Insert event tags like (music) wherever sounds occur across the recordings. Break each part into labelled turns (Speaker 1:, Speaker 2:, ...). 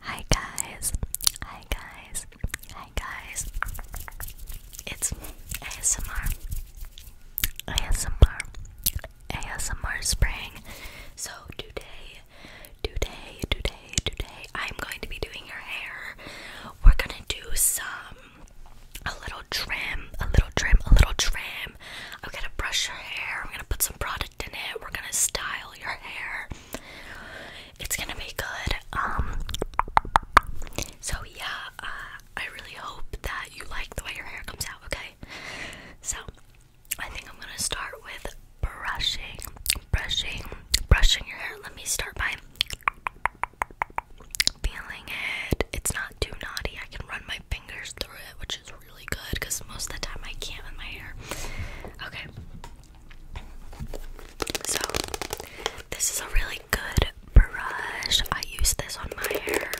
Speaker 1: Hi guys, hi guys, hi guys. It's ASMR, ASMR, ASMR spring. So today, today, today, today, I'm going to be doing your hair. We're gonna do some, a little trim, a little trim, a little trim. I'm gonna brush your hair, I'm gonna put some product in it, we're gonna style your hair. It's gonna be good. Um, so yeah, uh, I really hope that you like the way your hair comes out, okay? So I think I'm gonna start with brushing, brushing, brushing your hair. Let me start by feeling it. It's not too naughty. I can run my fingers through it, which is really good because most of the time I can't with my hair. Okay. So, this is a really good brush. I use this on my hair.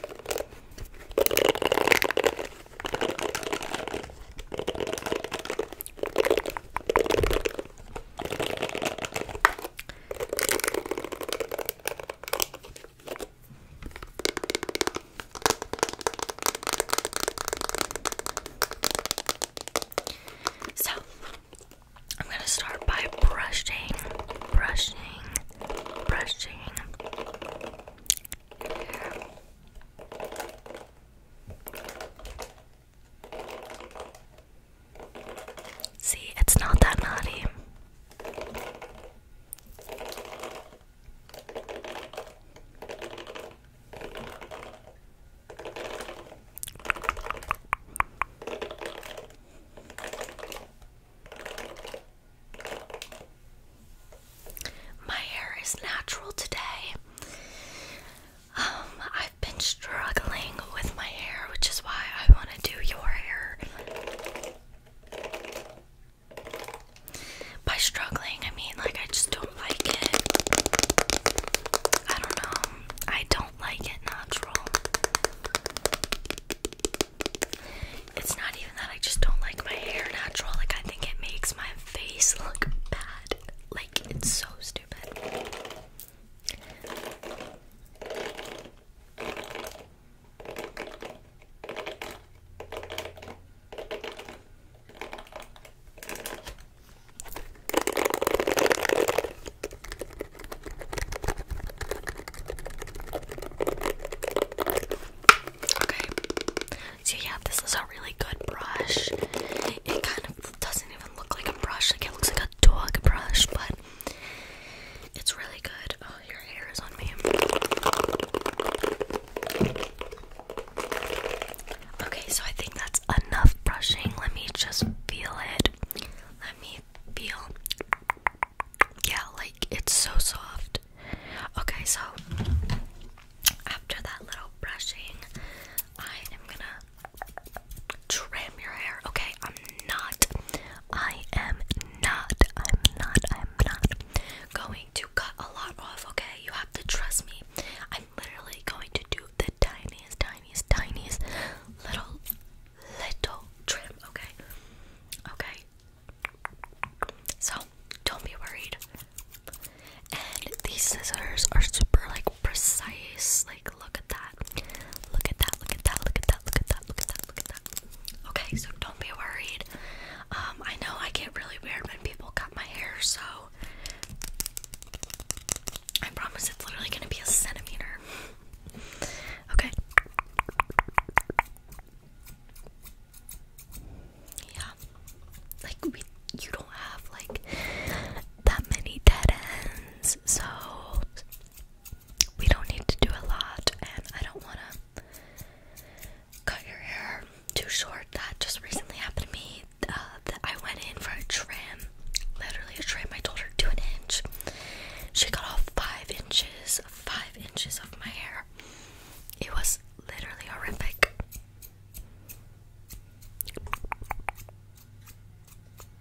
Speaker 1: So, I'm going to start by brushing, brushing, brushing See, it's not that naughty. My hair is natural today. Um, I've been struggling with my hair, which is why I want to do your hair. By struggling, I mean like I just don't like it. I don't know. I don't like it natural. It's not even that I just don't like my hair natural. Like I think it makes my face look bad. Like it's so stupid. Okay, so yeah, this is a really good brush. It kind of doesn't even look like a brush, like it looks like a dog brush, but it's really good. Oh, your hair is on me. Okay, so I think that's enough brushing. Let me just feel it. Let me feel. Yeah, like it's so soft. Okay, so after that little brushing, I am gonna trim your hair. Okay, I'm not I am not, I'm not, I'm not going to cut a lot off, okay? You have to trust me. I'm literally going to do the tiniest, tiniest, tiniest little, little trim, okay? Okay? So, don't be worried. And these scissors are super, like, precise. Like, look at that. Look at that, look at that, look at that, look at that, look at that, look at Okay, so don't be worried. Um, I know I get really weird when people cut my hair, so I promise it's literally gonna be a centimeter. okay. Yeah. Like we you don't have like that many dead ends, so we don't need to do a lot, and I don't want to cut your hair too short. That just recently happened to me. Uh, that I went in for a trim, literally a trim. I told her do an inch. She cut off five inches, five inches of my hair. It was literally horrific.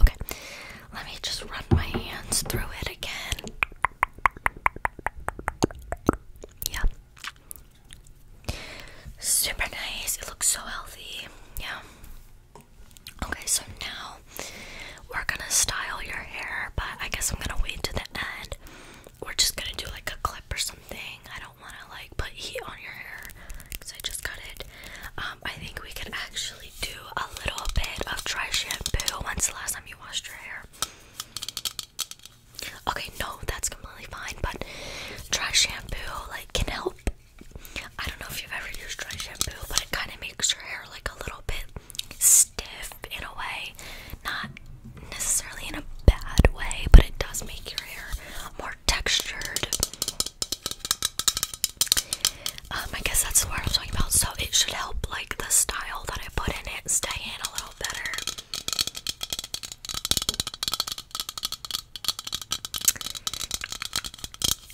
Speaker 1: Okay, let me just run my hands through it again. Yeah. Super nice. It looks so healthy. Yeah. Okay, so now we're gonna style your hair, but I guess I'm gonna wait to the end. We're just gonna do like a clip or something. I don't wanna like put heat on your hair because I just got it. Um, I think we can actually do a little bit of dry shampoo. When's the last time you washed your hair? Okay, no, that's completely fine, but dry shampoo like can help. I don't know if you've ever used dry shampoo, but it kind of makes your hair like a little bit stiff in a way. Not necessarily in a bad way, but it does make your hair more textured. Um, I guess that's what I am talking about. So it should help like the style that I put in it stay in a little better.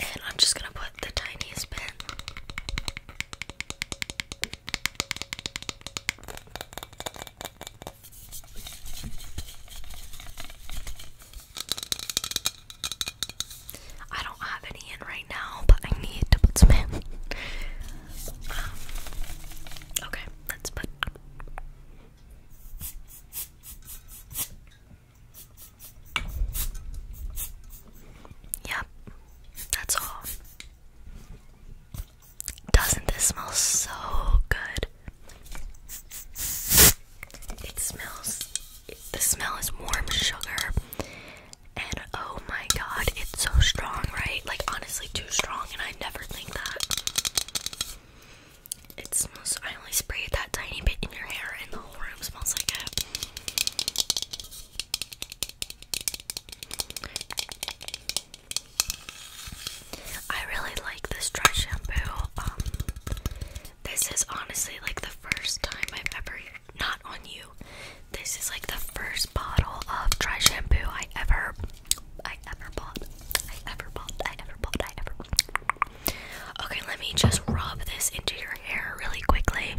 Speaker 1: And I'm just gonna put the tiniest bit. I don't have any in right now, but I need to put some in. Um, okay, let's put. Yep, that's all. Doesn't this smell so good? It smells the smell is warm sugar. And oh my god, it's so strong, right? Like, honestly, too strong, and I never think that. It smells, I only sprayed that tiny bit in your hair, and the whole room smells like it. I really like this dry shampoo. Um, this is honestly like the first time I've ever not on you. This is like the first bottle of dry shampoo I ever I ever bought. I ever bought. I ever bought. I ever bought. Okay, let me just rub this into your hair really quickly.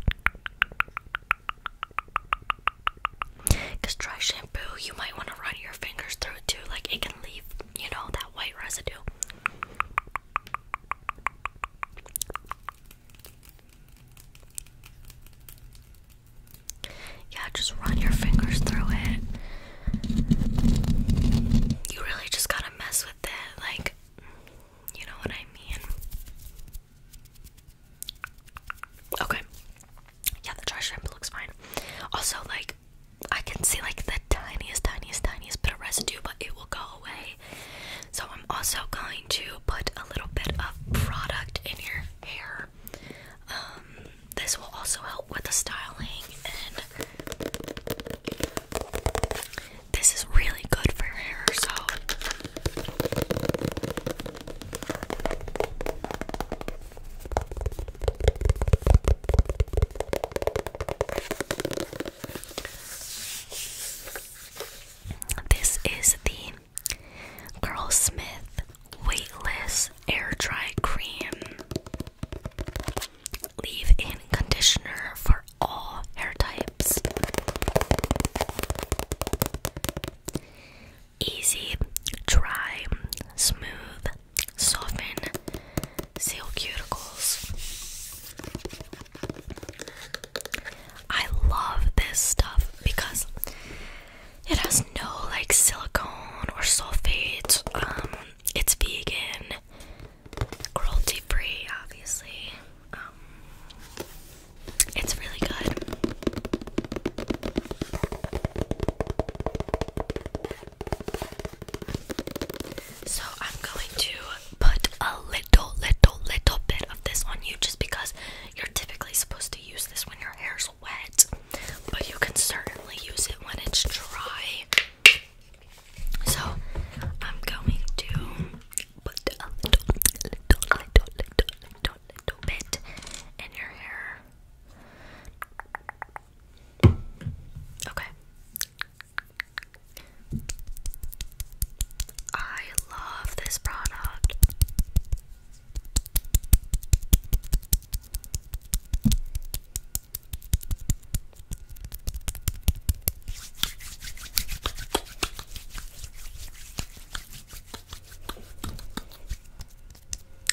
Speaker 1: Cause dry shampoo, you might want to run your fingers through it too, like it can leave, you know, that white residue. Yeah, just run your fingers through it. You really just gotta mess with it, like, you know what I mean? Okay. Yeah, the trash dump looks fine. Also, like, I can see like the tiniest, tiniest, tiniest bit of residue, but it will go away. So I'm also going to put a little bit of product in your hair. Um, this will also help with the styling, and this is really good for your hair. So. This is the Carl Smith Weightless Air Dry Cream Leave in Conditioner for all hair types. Easy, dry, smooth, soften seal cuticles. I love this stuff because it has no like silicone or sulfate. Um, it's vegan, cruelty free, obviously. Um, it's really good. So I'm going to put a little, little, little bit of this on you just because you're typically supposed to use this when your hair's wet, but you can certainly use it when it's dry. So I'm going to put a little, little, little, little, little, little bit in your hair. Okay. I love this product.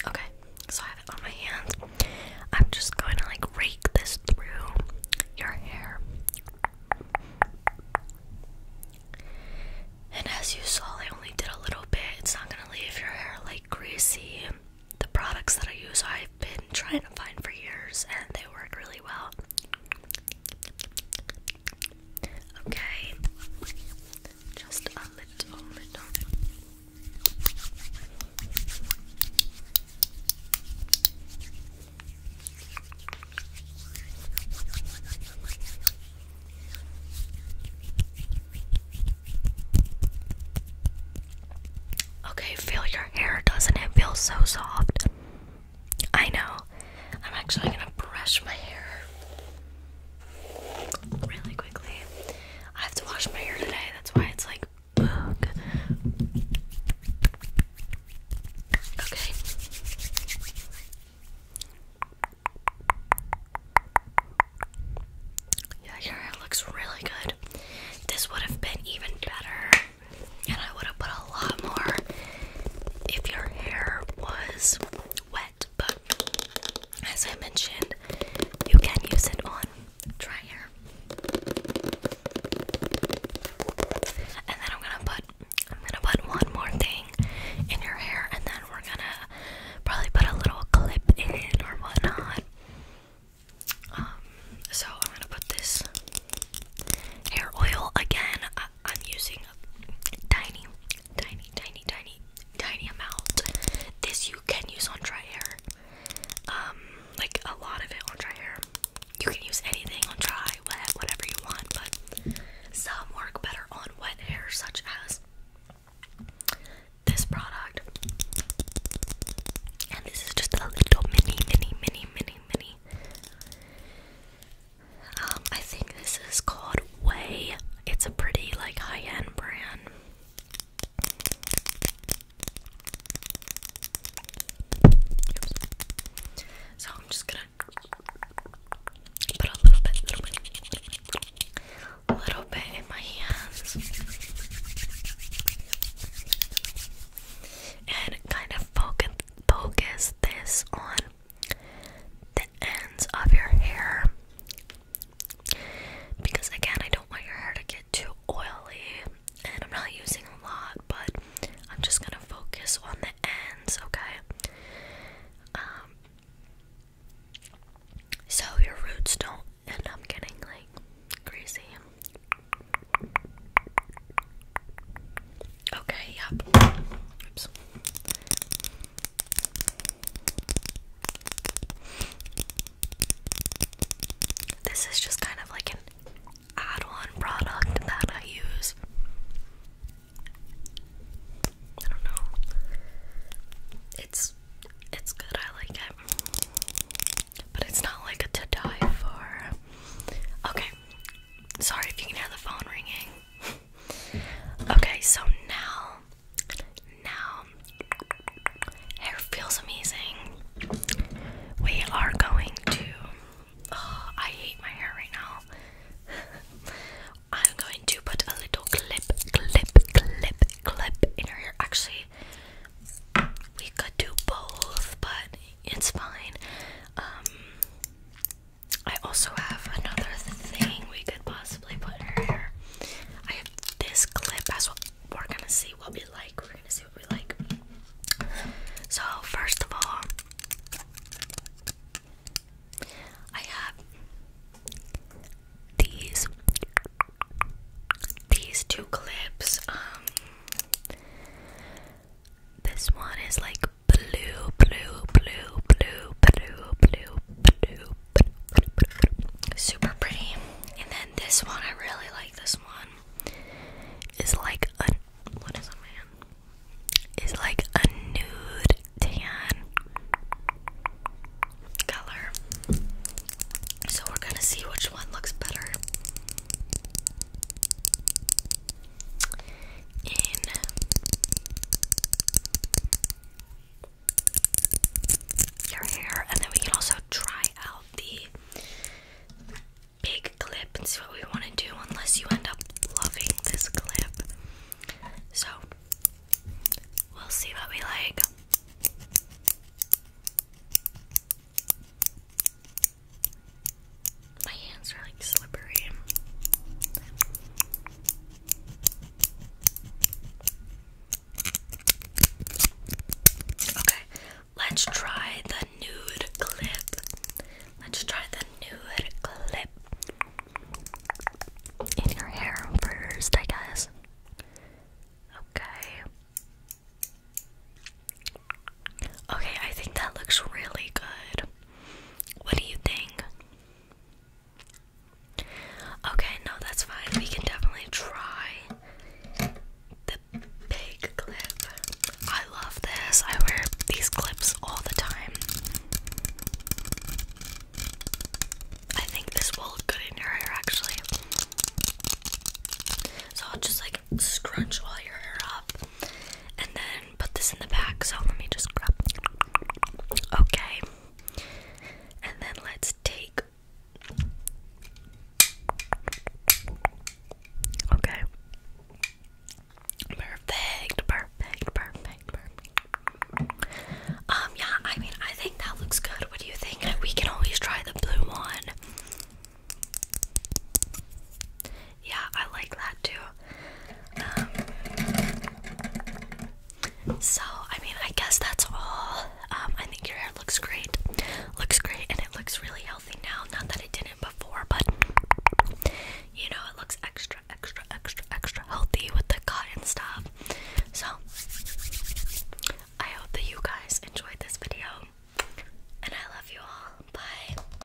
Speaker 1: Okay, so I have it on my hands. I'm just going to like rake this through your hair. And as you saw, I only did a little bit. It's not going to leave your hair like greasy. The products that I use, I've been trying to find for years and they work really well. Okay. Just a little, Okay, feel your hair. Doesn't it feel so soft? I know. I'm actually gonna brush my hair really quickly. I have to wash my hair today, that's why it's like Okay. Yeah, your hair looks really good. This would have been even better, and I would have put a lot more if your hair was wet but as I mentioned, you can use it on dry hair. And then I'm gonna put I'm gonna put one more thing in your hair and then we're gonna probably put a little clip in it or whatnot. Um, so I'm gonna put this hair oil again. I'm using a tiny, tiny, tiny, tiny tiny amount. This you can use on dry hair. Um, like a lot of it on dry hair. You can use anything on dry, wet, whatever you want, but some work better on wet hair, such as this product. And this is just a little mini, mini, mini, mini, mini. Um, I think this is called Way. It's a pretty like high-end brand. So I'm just gonna put a little bit, little bit, little bit, little bit in my hands and kind of focus, focus this on the ends of your hair because again I don't want your hair to get too oily and I'm not using a lot but I'm just gonna focus on the ends okay um so your roots don't end up getting like greasy okay yep this is just kind of like an add on product that I use. I don't know. It's it's good, I like it. But it's not like a to die for. Okay. Sorry if you can hear the phone ringing. (laughs) Okay, so now, now, hair feels amazing. We are going to. Oh, I hate my hair right now. (laughs) I'm going to put a little clip, clip, clip, clip in her hair. Actually, we could do both, but it's fine. Um, I also have another thing we could possibly put in her hair. I have this clip as well. We're gonna see what we like. We're gonna see what we like. So, first of all, I have these these two clips. Um, this one is like blue, blue, blue, blue, blue, blue, blue, blue. Super pretty. And then this one, I really like this one. Is like a what is a man? Is like a nude tan color. So we're gonna see which one looks better in your hair, and then we can also try out the big clip and see what we want to do, unless you end up loving this clip. So, we'll see what we like. My hands are like slippery. Okay, let's try the nude clip. Let's try the nude clip in your hair first, I guess. Okay. Okay, I think that looks really good. What do you think? Okay, no, that's fine. We can definitely try the big clip. I love this. I wear these clips all the time. I think this will look good in your hair actually. So I'll just like scrunch all your hair up and then put this in the back. So let me just grab. Okay. And then let's take. Okay. perfect, perfect, perfect. Um, yeah, I mean, I think that looks good. What do you think? We can always try the blue one. Yeah, I like that too. Um, so, I mean, I guess that's all. Um, I think your hair looks great. Looks great, and it looks really healthy now. Not that it didn't before, but you know, it looks extra, extra, extra, extra healthy with the cotton stuff. So, I hope that you guys enjoyed this video. And I love you all. Bye.